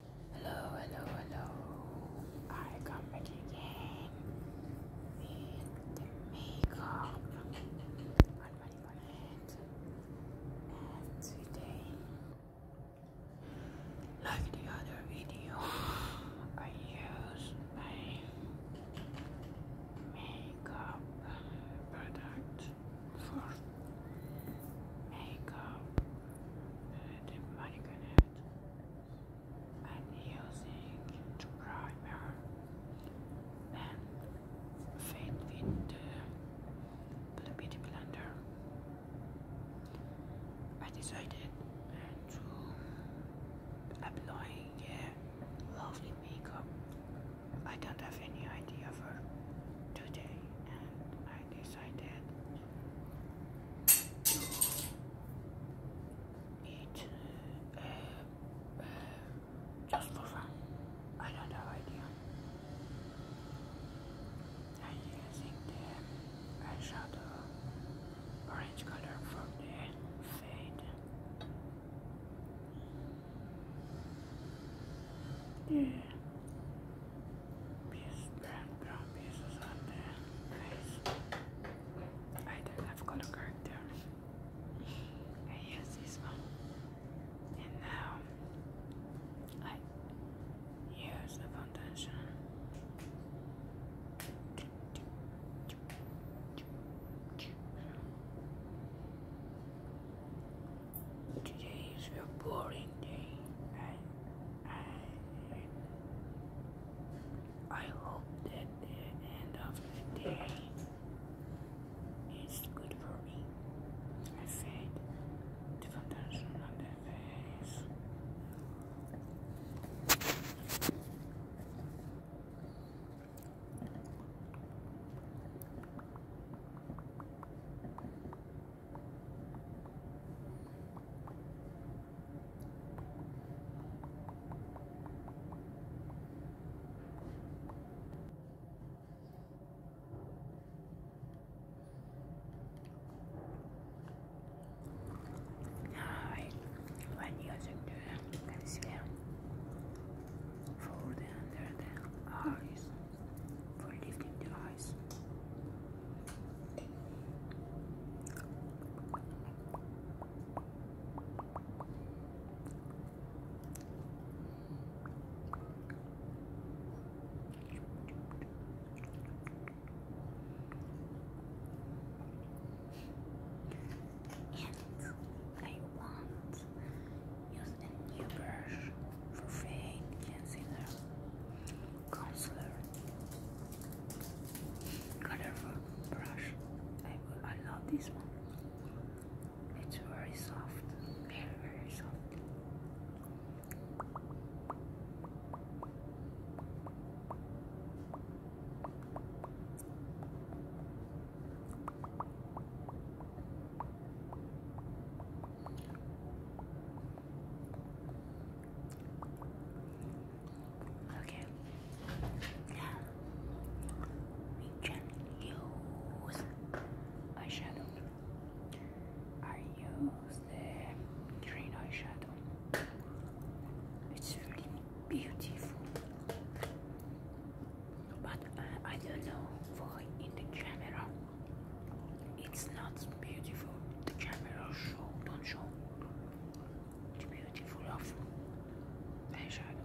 Hello, hello, hello. I come back again with the makeup on my bonnet. And today, like the other video, I use my makeup product for makeup the magnet and using the primer and fade the beauty blender. I decided to applying a lovely makeup. I don't have any idea for today and I I did, to uh, uh, just for fun. I don't have idea. I'm using the eyeshadow orange color from the fade. Yeah piece, brown, brown pieces on there. Nice. I do have got a I use this one. And now I use the foundation. Today is a boring day, and I, hope that the end of the day is good for me. I said the foundation on the face. Alright, when using the concealer, fold under the eyes for lifting the eyes. And I want Use a new brush for fake concealer. Concealer. Colorful brush. I, I love this one. It's very soft. Very, very soft. Okay. Now we can use eyeshadow. I use the green eyeshadow. It's really beautiful. But uh, I don't know why in the camera it's not beautiful. The camera show don't show the beautiful of eyeshadow,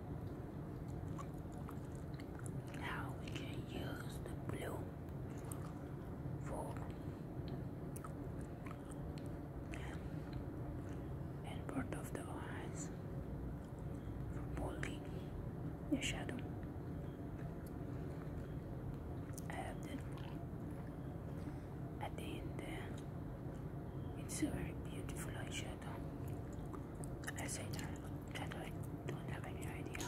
Now we can use the blue for and part of the eyes for pulling the shadow. I have that at the uh, It's a very beautiful eyeshadow. I say that, I don't have any idea.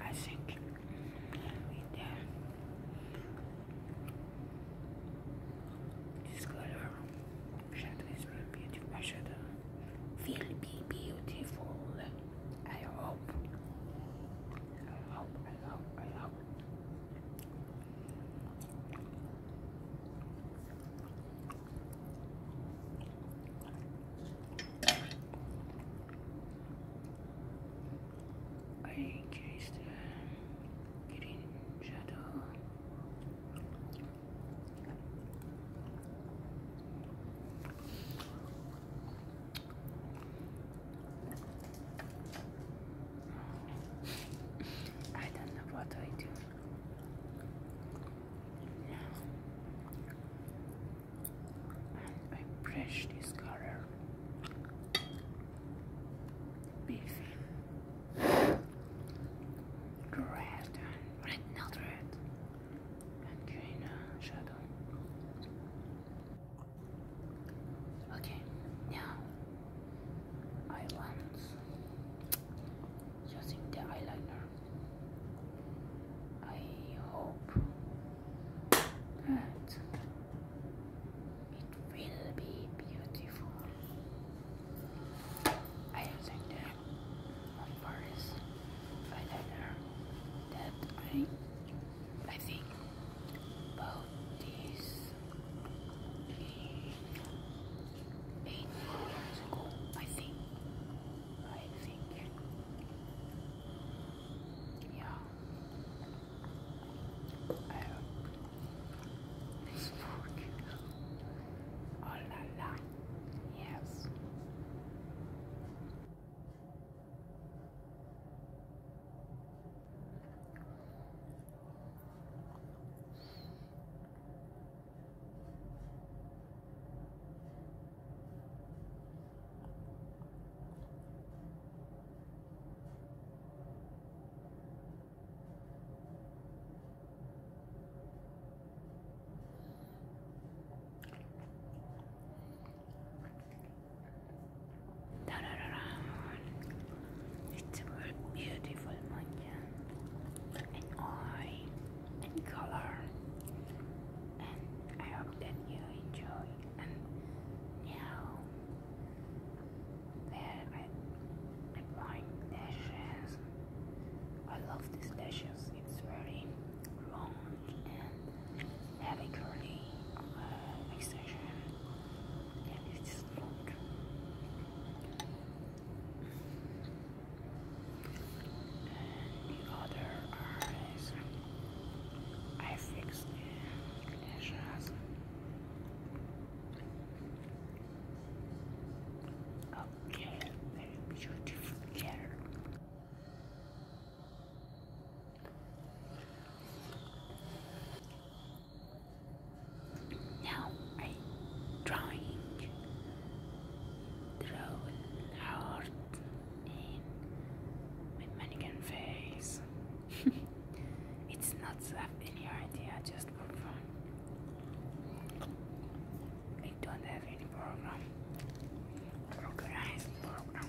I think with the, this color shadow is very beautiful. My shadow will be beautiful. I hope. I hope. I hope. I hope. I chased the shadow. I don't know what I do I brush this color beefy red and red red and green uh, shadow okay now I want using the eyeliner I hope that it will be beautiful. I am saying that on Paris, I learned that I, I think about this eight years ago, I think. I think. Yeah. I hope this book. Oh la la. Yes. It's a beautiful manjan and I and color. And I hope that you enjoy. And now that I, I'm buying dashes, I love these dashes. It's very long and heavy curly uh, extension, and it's long and the other eyes I fixed the lashes okay, very beautiful now I drawing drawn heart in with mannequin face. it's not to have any idea, just for fun. I don't have any problem. Organized program.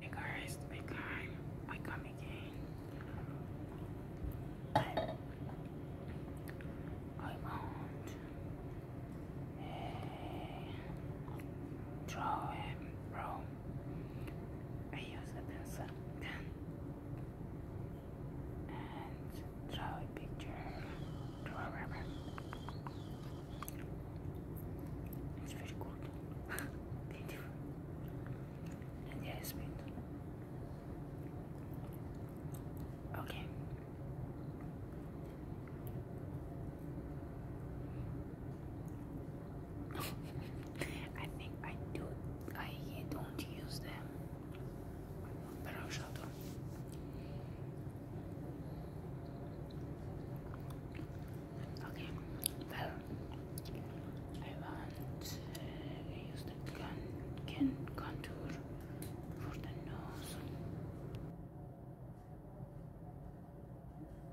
Hey guys, big time. I come again. I want uh, draw a I use a pencil and draw a picture, draw a rubber. It's very good, beautiful, and yes, wait. Okay. I think I do. I don't use them, but I'll Okay, well, I want uh, use the can contour for the nose.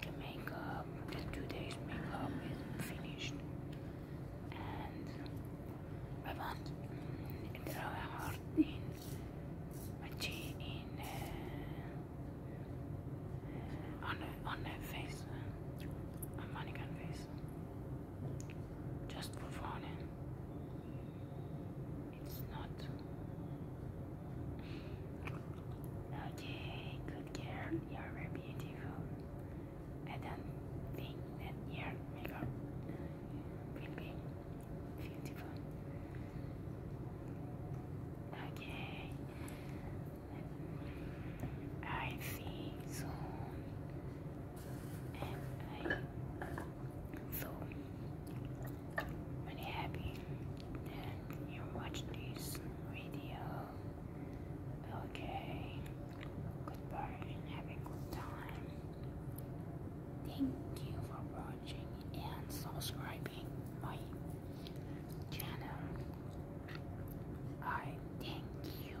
The makeup, the two days makeup is finished, and I want to draw a heart in my chin, in uh, on on a face, a uh, mannequin face, just for fun. It's not. Okay, good girl. You're very beautiful. I don't your makeup will be beautiful. Okay. I see soon. So i happy you watch this video. Okay. Goodbye and have good time. Thank you for watching and subscribing my channel. I thank you.